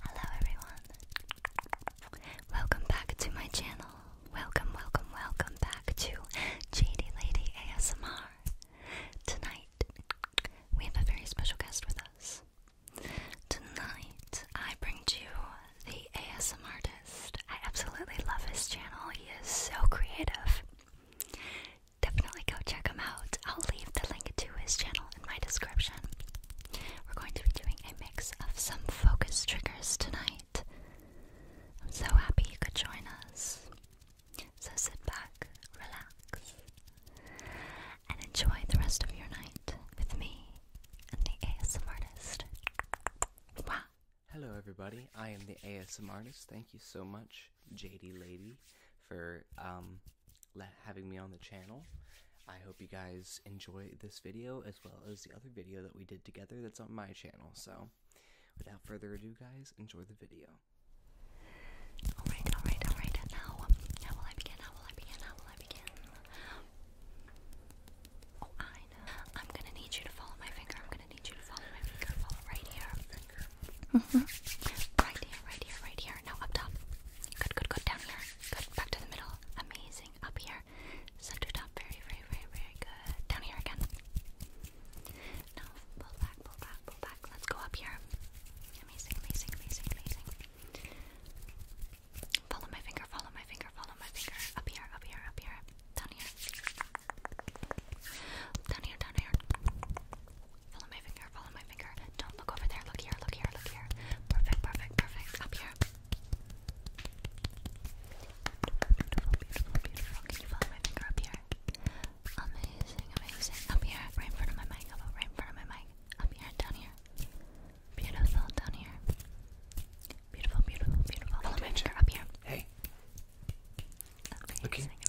Hello everyone. Welcome back to my channel. Welcome, welcome, welcome back to JD Lady ASMR. Tonight we have a very special guest with us. Tonight I bring to you the ASMR artist. I absolutely love his channel. He is so creative definitely go check him out. I'll leave the link to his channel in my description. We're going to be doing a mix of some focus triggers tonight. I'm so happy you could join us. So sit back, relax, and enjoy the rest of your night with me and the ASM artist. Wow. Hello, everybody. I am the ASM artist. Thank you so much, JD Lady, for um, having me on the channel. I hope you guys enjoy this video as well as the other video that we did together that's on my channel. So, without further ado, guys, enjoy the video. Alright, alright, alright. Now, how um, will I begin? How will I begin? How will I begin? Oh, I know. I'm gonna need you to follow my finger. I'm gonna need you to follow my finger. right here. Mm-hmm. Right here, right here, right here. Now up top. Good, good, good. Down here. Good. Back to the middle. Amazing. Up here. Center top. Very, very, very, very good. Down here again. Now pull back, pull back, pull back. Let's go up here. Amazing, amazing, amazing, amazing. Follow my finger, follow my finger, follow my finger. Up here, up here, up here. Down here. Down here, down here. Follow my finger, follow my finger. Don't look over there. Look here, look here, look here. Perfect, perfect, perfect. Up here. Beautiful, beautiful, beautiful. Can you follow my finger up here? Amazing, amazing. Up here, right in front of my mic. Up, right in front of my mic. Up here, down here. Beautiful, down here. Beautiful, beautiful, beautiful. Follow my finger up here. Hey. Amazing, Look here.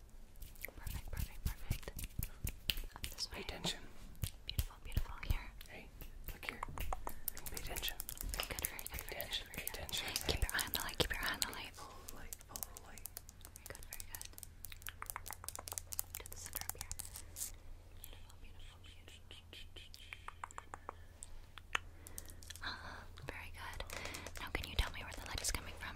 Pay attention. Beautiful, beautiful. Here. Hey, look here. Pay attention. Good, very good. Pay attention, Keep your eye on the light, keep your eye on the light. Follow the light, follow the light. Very good, very good. To the center up here. Beautiful, beautiful, beautiful. Uh, very good. Now, can you tell me where the light is coming from?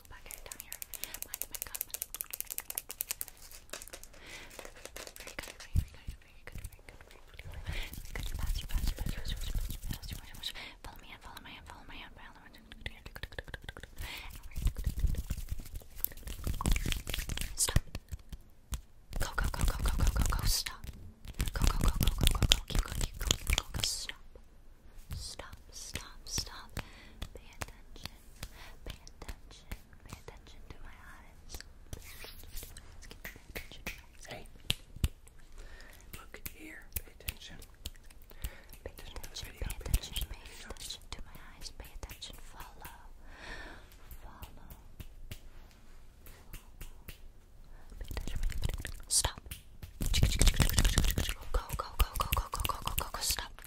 Stop. Go, go, go, go, go, go, go, stop. Go, go, go, go, go, go, go, stop. Stop, stop, stop. Pay attention. Pay attention. Pay attention to my eyes. Pay attention to my eyes. Pay attention to my eyes. Pay attention. Pay attention. Pay attention. to my eyes. Pay attention. Follow. Follow. Pay Stop. go, go, go, go, go, go, go, go, go, stop.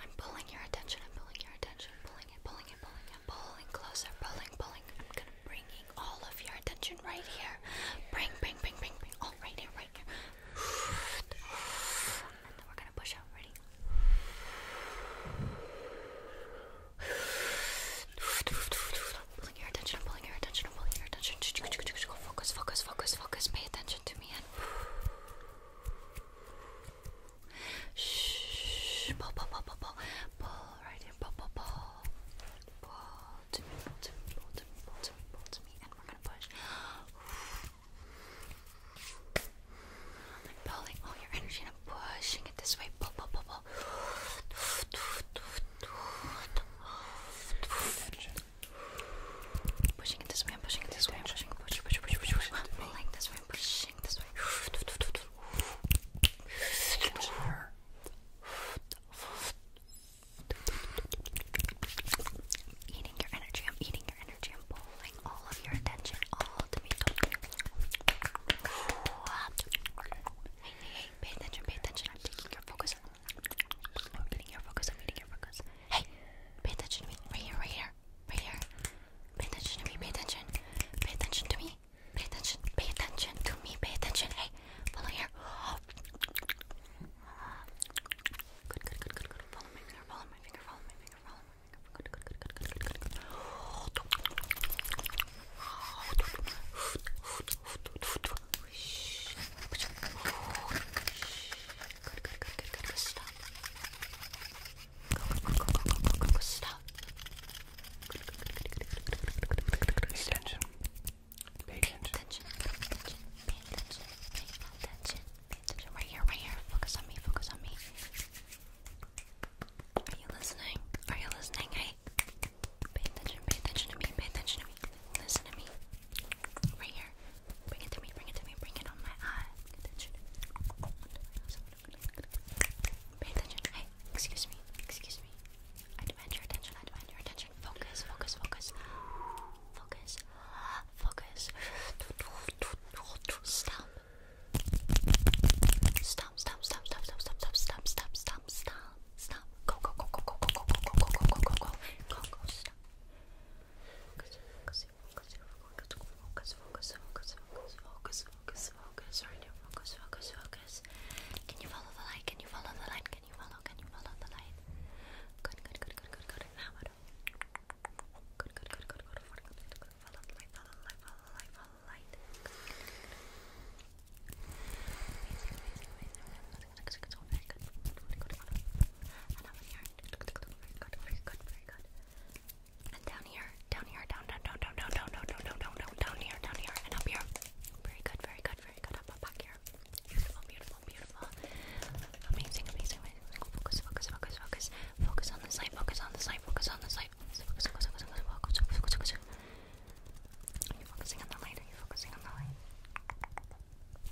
I'm pulling your attention, I'm pulling your attention, pulling it, pulling it, pulling it, pulling closer, pulling, pulling. I'm gonna bringing all of your attention right here. Bring, bring, bring, bring, bring. All oh, right here, right here. And then we're gonna push out. Ready? I'm pulling your attention, I'm pulling your attention, I'm pulling your attention. Focus, focus, focus, focus. Pay attention to me in. Shh. Pull, pull, pull, pull, pull. Pull right in. Pull, pull, pull. Pull to me, pull to me, pull to me, pull to me, pull to me. And we're going to push. I'm pulling all your energy and I'm pushing it this way. Pull, pull, pull, pull. Tension. Pushing it this way, I'm pushing it this way, I'm pushing, push, push, push, push, push. I'm pulling this way, I'm pushing this way. I'm eating your energy, I'm eating your energy, I'm pulling all of your attention, all to me. Hey, hey, hey, pay attention, pay attention, I'm taking your focus, I'm getting your focus. I'm getting your focus. Hey, pay attention to me. Right here, right here, right here. Pay attention to me. Pay attention. Pay attention to me. Pay attention. Pay attention to me. Pay attention. Hey, follow here. Good, good, good, good, good. Follow my finger. Follow my finger. Follow my finger. Follow my finger. Good, good, good, good, good, good, good. Whoosh. Whoosh. Good, good, good, good, good, good. Stop. Go, go, go, go, go, go, go, stop. Good, good, good, good, good, good, good, good, good, good, good. Pay attention. Pay attention. Pay attention. Pay attention. Pay attention. Pay attention. Right here, right here. Focus on me. Focus on me. Are you listening? Are you listening? Hey. Pay attention. Pay attention to me. Pay attention to me. Listen to me. Right here. Bring it to me, bring it to me, bring it on my eye. attention. attention. Hey, excuse me, excuse me. I demand your attention, I demand your attention. Focus, focus, focus. Focus, focus. Stop. Stop, stop, stop, stop, stop, stop, stop, stop, stop, stop, go, go, go, go, go, go, go, go, go, go, go, go, go, go, go, go, Focus, focus, focus, focus, focus, focus, focus, focus, focus, focus, focus, right here. Focus, focus, focus. Can you follow the light? Can you follow the light? Can you follow? Can you follow the light? Good, good, good, good, good, good. Now what? Good, good, good, good, good. Follow the light. Follow the light. Follow the light. Follow the light. Follow the light. Amazing, amazing, amazing very good, very good, and over here, very good, very good, very good, and down here, down here, down, down, down, down, down, down, down, down, down, down, here, down here, and up here, very good, very good, very good, up, up, back here, beautiful, beautiful, beautiful, amazing, amazing, amazing, focus, focus, focus, focus, focus on the light, focus on the light, focus on the light, focus, focus, focus, focus, focus, focus, focus, are you focusing on the light? Are you focusing on the light?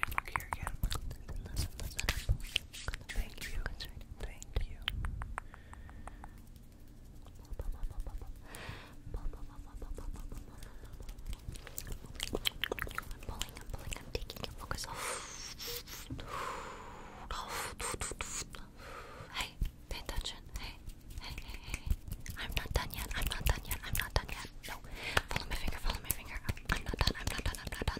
And look here again. Thank you. Thank you. I'm pulling, I'm pulling, I'm taking it. Focus off. Hey, pay attention. hey, hey, hey. I'm not done yet. I'm not done yet. I'm not done yet. No. Follow my finger, follow my finger. I'm not done. I'm not done. I'm not done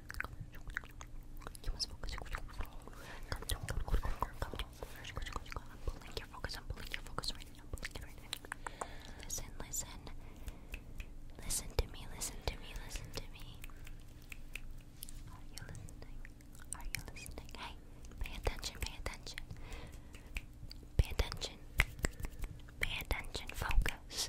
You must focus. I'm pulling your focus. I'm pulling your focus right now. I'm pulling it right now. Listen, listen. Listen to me. Listen to me. Listen to me. Are you listening? Are you listening? Hey, pay attention. Pay attention. Pay attention. Pay attention. Focus.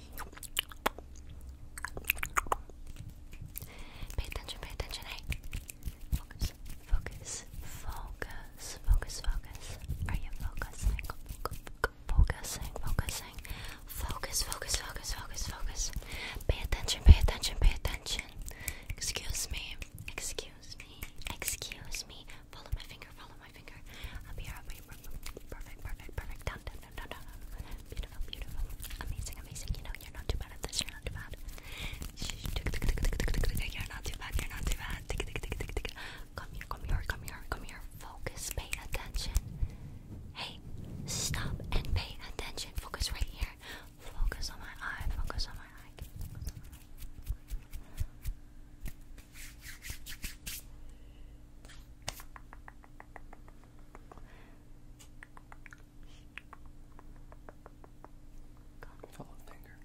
Pay attention, pay attention, hey. Focus, focus, focus, focus, focus. Are you focusing? Focusing, focusing. Focus, focus, focus, focus, focus. Pay attention, pay attention, pay attention. Excuse me, excuse me, excuse me. Follow my finger, follow my finger. I'll be right. Perfect, perfect, perfect. Down, down, Beautiful, beautiful. Amazing, amazing. You know, you're not too bad at this. You're not too bad. You're not too bad. You're not too bad. Come here, come here, come here, come here. Focus, pay attention. Hey, stop and pay attention. Focus right here. Focus on my eye. Focus on my eye. Follow finger.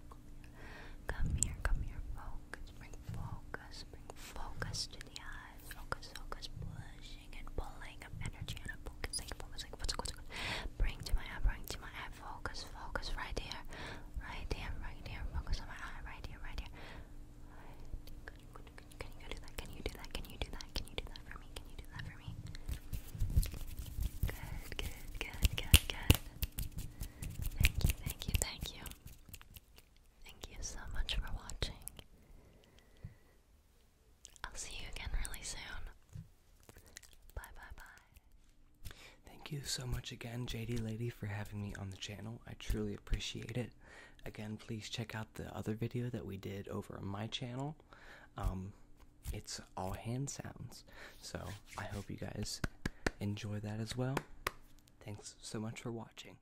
Come here, come here, focus, bring focus, bring focus to the eyes, focus, focus, pushing and pulling of energy and I'm focusing, focusing, focus, focus, bring to my eye, bring to my eye, focus, focus, right there, right there, right there, focus on my eye, right here, right here. Can you do that? Can you do that? Can you do that? Can you do that for me? Can you do that for me? Good, good, good, good, good. Thank you, thank you, thank you. Thank you so much for watching. I'll see you again really soon. Bye bye bye. Thank you so much again, JD Lady, for having me on the channel. I truly appreciate it. Again, please check out the other video that we did over my channel. Um, it's all hand sounds. So I hope you guys enjoy that as well. Thanks so much for watching.